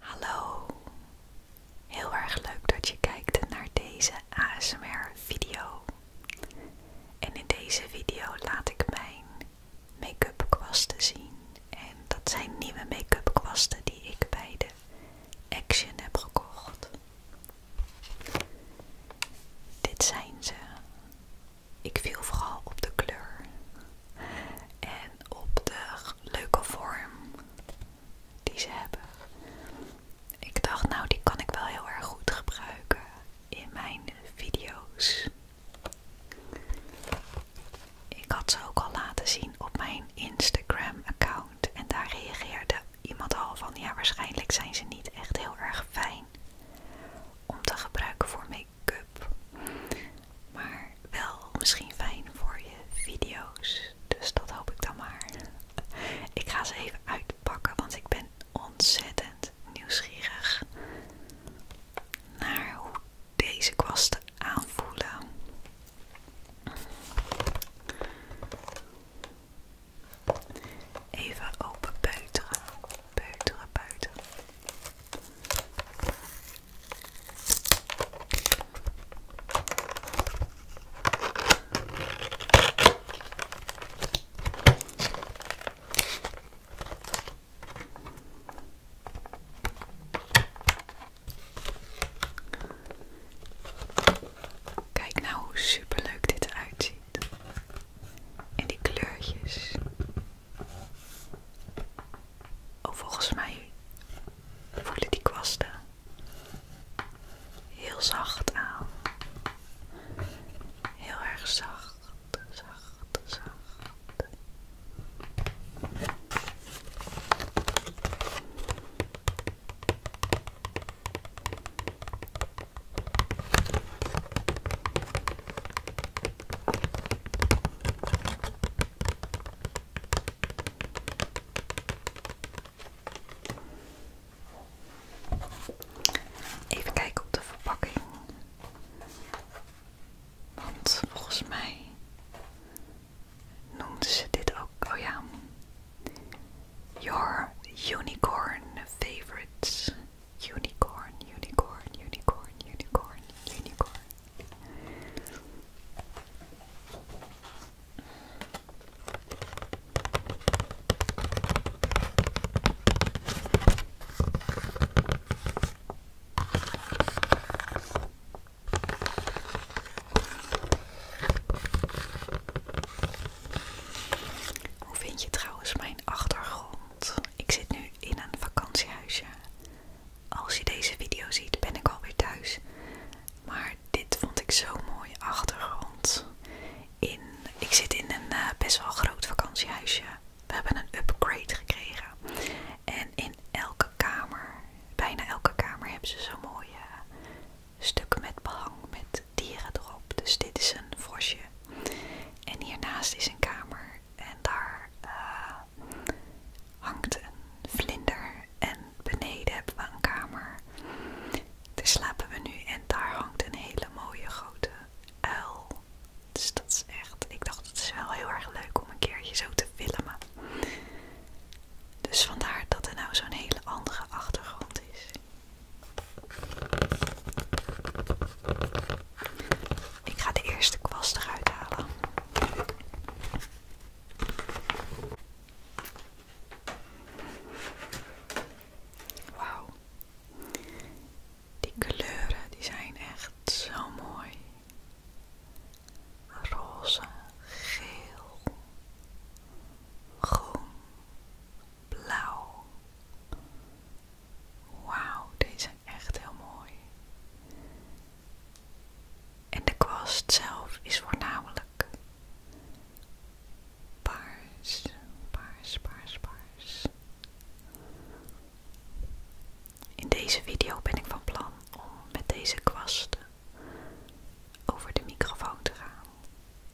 Hallo, heel erg leuk dat je kijkt naar deze ASMR-video. En in deze video laat ik mijn make-up kwasten zien. En dat zijn nieuwe make-up kwasten die ik bij de Action heb gekocht. Dit zijn ze. Ik viel vooral op de kleur en op de leuke vorm die ze hebben. Ik dacht, nou, die kan ik wel heel erg goed gebruiken in mijn video's. Ik had ze ook al laten zien op mijn Instagram-account en daar reageerde iemand al van: ja, waarschijnlijk zijn ze niet echt heel erg fijn om te gebruiken voor make Cup. Maar wel misschien fijn voor je video's. Dus dat hoop ik dan maar. Ik ga ze even uitpakken, want ik ben ontzettend nieuwsgierig naar hoe deze kwasten aanvoelen. Even open buiten, peuteren, buiten. Kijk nou hoe superleuk dit uitziet En die kleurtjes. Oh, volgens mij voelen die kwasten heel zacht aan. Heel erg zacht, zacht, zacht. Even kijken op de verpakking. Want volgens mij noemden ze dit ook. Oh ja. Your unicorn favorites. Unicorn, unicorn, unicorn, unicorn, unicorn. Hoe vind je trouwens mijn achtergrond? Ik zit nu in een vakantiehuisje als je deze video ziet, ben ik alweer thuis. Maar dit vond ik zo mooi achtergrond. ik zit in een eh, best wel groot vakantiehuisje. We hebben een upgrade gekregen. En in elke kamer, bijna elke kamer, hebben ze zo'n mooie eh, stukken met behang met dieren erop. Dus dit is een vosje. En hiernaast is een kamer. En daar eh, hangt een vlinder en beneden hebben we een kamer. Daar slapen we nu en daar hangt een hele mooie grote uil. Dus dat is echt, ik dacht het is wel heel erg leuk om een keertje zo te filmen. Dus vandaar dat er nou zo'n hele andere achtergrond is. Ik ga de eerste kwast eruit halen. Wauw. Die kleuren die zijn echt zo mooi. Roze, geel, groen, blauw. Wauw, deze echt heel mooi. En de kwast zelf is voornamelijk paars, paars, paars, paars. In deze video ben ik van plan om met deze kwasten over de microfoon te gaan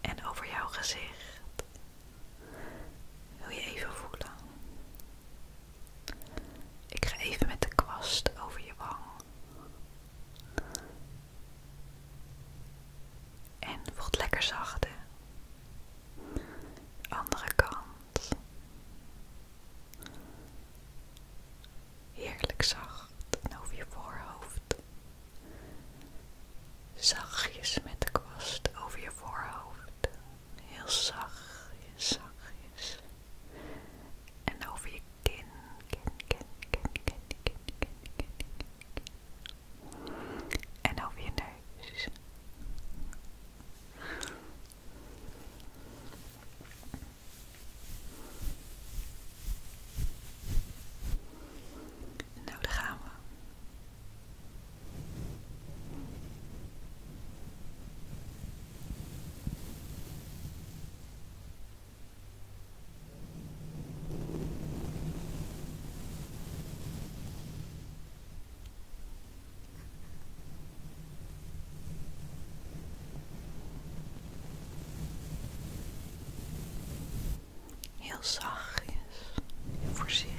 en over jouw gezicht. Wil je even voelen? Ik ga even met de kwast over je wang. En voelt lekker zachte. Andere kant. Heerlijk zacht over je voorhoofd. Zachtjes met de kwast over je voorhoofd heel zacht, zachtjes. En over je kin, kin, kin, kin, kin, kin, En over je neus. Nou, daar gaan we. Heel zachtjes, heel voorzichtig.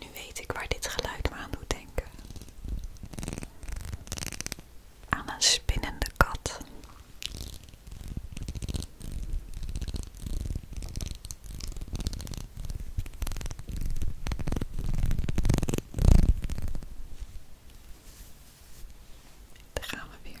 Nu weet ik waar dit geluid maar aan doet denken. Aan een spinnende kat. Daar gaan we weer.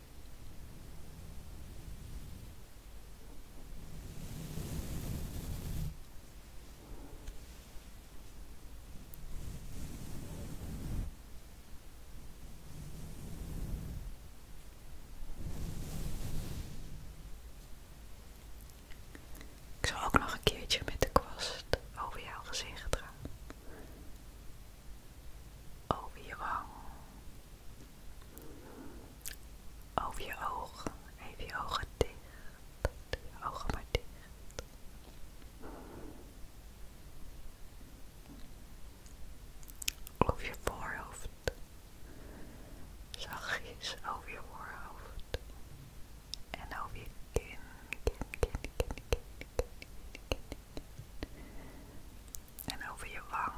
Ik zal ook nog een keertje met de kwast over jouw gezicht gaan. Over je wang, over je ogen. Even je ogen dicht. Doe je ogen maar dicht. Over je voorhoofd. Zachtjes over je voorhoofd. En over je kin. Kin, kin, kin, kin, kin, kin, kin en over je wang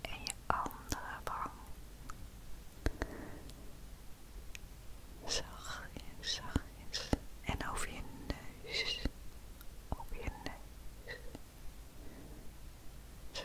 en je andere wang. Zachtjes, zachtjes. En over je neus. Op je neus. Zo.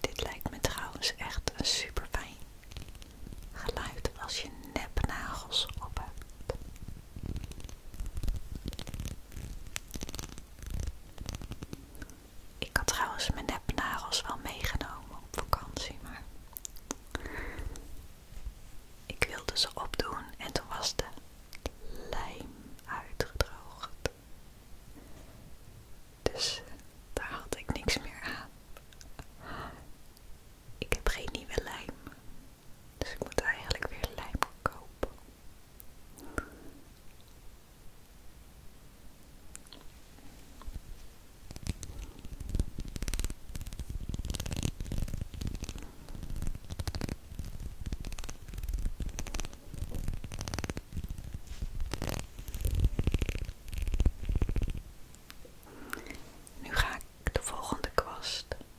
Dit lijkt me trouwens echt een super fijn geluid als je nepnagels op hebt. Ik had trouwens mijn nepnagels wel meegenomen op vakantie, maar ik wilde ze opdoen en toen was de lijm uitgedroogd. Dus daar had ik niks meer aan. Ik heb geen nieuwe lijm, dus ik moet eigenlijk weer lijm kopen. Nu ga ik de volgende kwast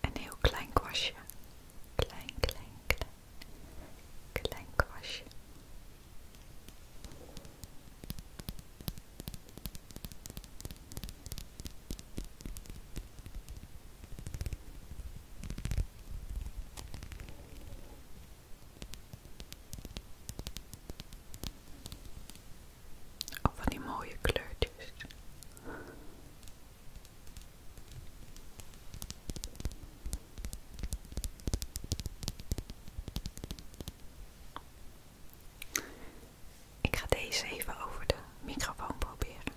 Een heel klein kwastje. Klein, klein, klein. kwastje. Of oh, van die mooie kleurtjes. Ik ga deze even over de microfoon proberen.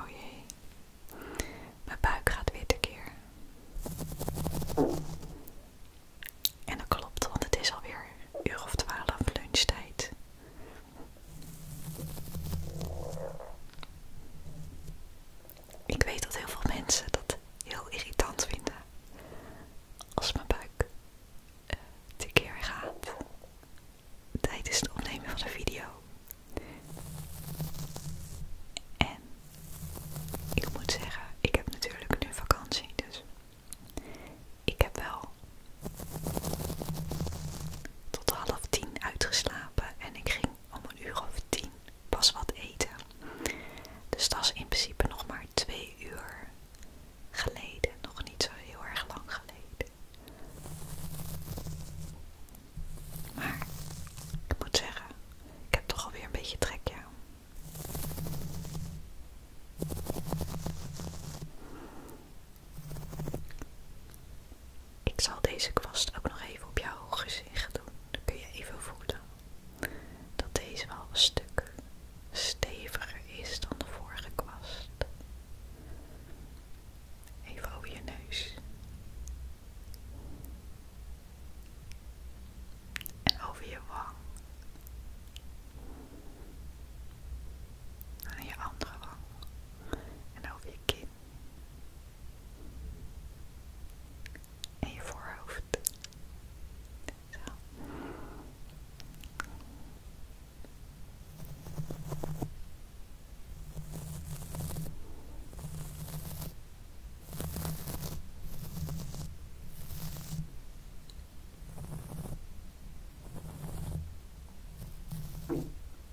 Oh jee, mijn buik gaat weer tekeer. En dat klopt, want het is alweer uur of twaalf lunchtijd. Ik weet dat heel veel mensen dat heel irritant vinden als mijn buik uh, keer gaat tijdens het opnemen van de video. En ik moet zeggen, ik heb natuurlijk nu vakantie, dus ik heb wel tot half tien uitgeslapen en ik ging om een uur of tien pas wat eten. Dus dat is in principe nog maar twee uur geleden. Nog niet zo heel erg lang geleden. Maar ik moet zeggen, ik heb toch alweer een beetje trek, ja. Ik zal deze kwast ook nog even op jouw gezicht doen. Dan kun je even voelen dat deze wel een stuk steviger is dan de vorige kwast. Even over je neus. En over je wang. En je andere wang. En over je kin. En je voorhoofd.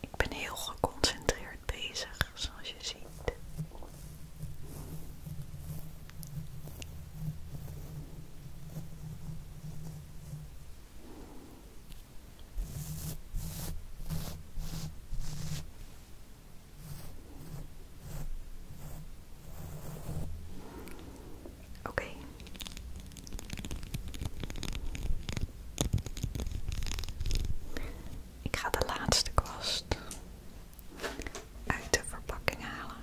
Ik ben heel geconcentreerd bezig, zoals je ziet. Oké. Ik ga de laatste kwast uit de verpakking halen.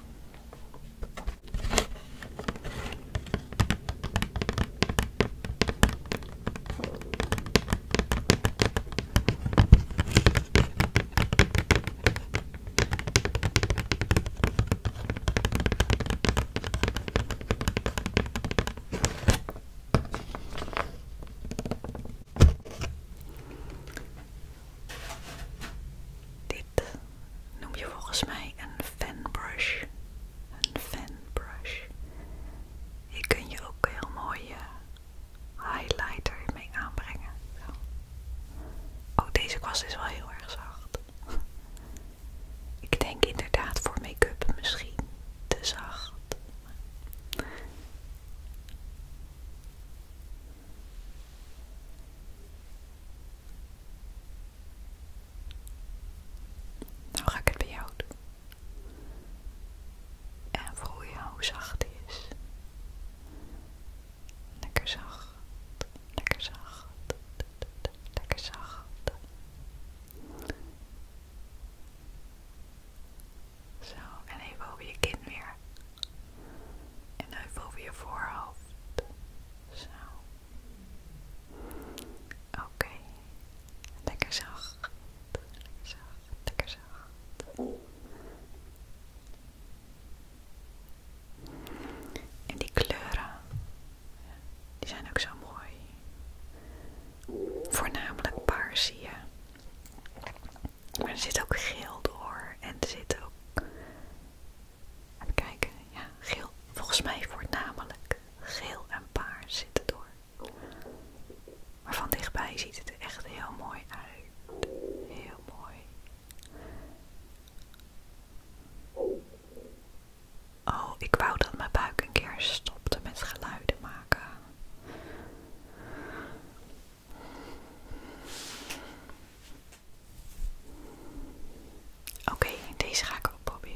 Dit noem je volgens mij een fanbrush. Een fanbrush. Hier kun je ook heel mooie highlighter mee aanbrengen. Zo. Oh, deze kwast is wel heel erg zacht. Ik denk inderdaad voor make-up misschien te zacht. Nou ga ik het bij jou doen. En voel je hoe zacht die is. Lekker zacht, lekker zacht, lekker zacht. Zo, en even over je kin weer. En even over je voorhoofd. Zo. Oké. Lekker zacht. Lekker zacht. Lekker zacht. En die kleuren die zijn ook zo mooi. Voornamelijk paars zie je. Maar er zit ook geel door. En er zit ook... Even kijken. Ja, geel. Volgens mij voornamelijk geel en paars zitten door. Maar van dichtbij ziet het er echt heel mooi uit. Heel mooi. Oh, ik wou dat mijn buik een keer stopte met geluiden maken. Oké, deze ga ik ook proberen.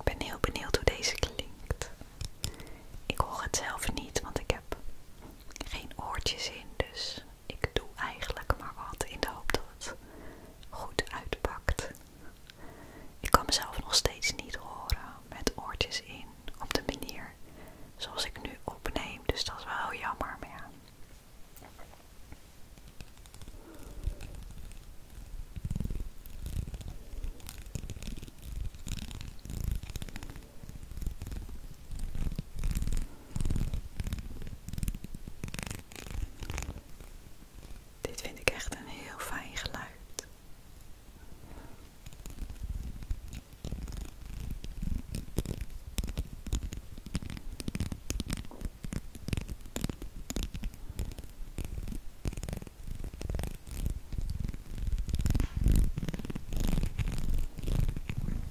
Ik ben heel benieuwd hoe deze klinkt. Ik hoor het zelf niet, want ik heb geen oortjes in, dus ik doe eigenlijk maar wat in de hoop dat het goed uitpakt. Ik kan mezelf nog steeds niet horen met oortjes in op de manier zoals ik nu opneem, dus dat is wel jammer. Dit vind ik echt een heel fijn geluid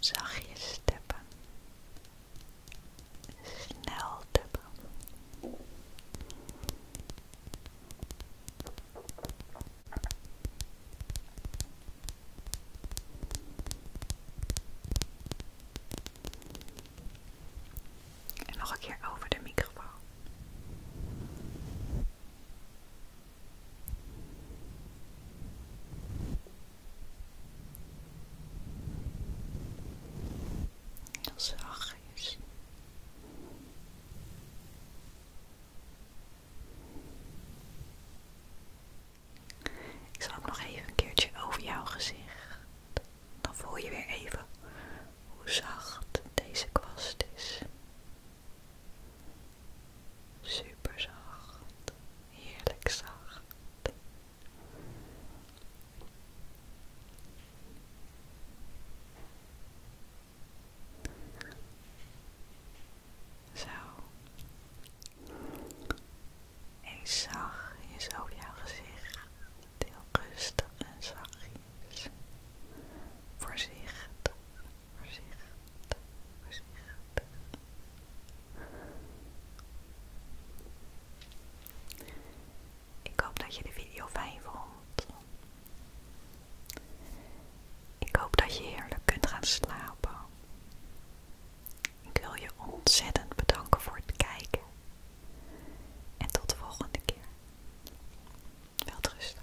zachtjes tappen, snel tappen. En nog een keer over de microfoon zacht is. Ik zal ook nog even een keertje over jouw gezicht. Dan voel je weer even hoe zacht deze kwast is. Super zacht, heerlijk zacht. Zo. een zacht, je zo je gezicht heel rustig en zachtjes, Voorzicht. Voorzichtig, Ik hoop dat je de video fijn vond. Ik hoop dat je heerlijk kunt gaan slapen. Ik wil je ontzettend bedanken voor het kijken. En tot de volgende keer. Welterusten.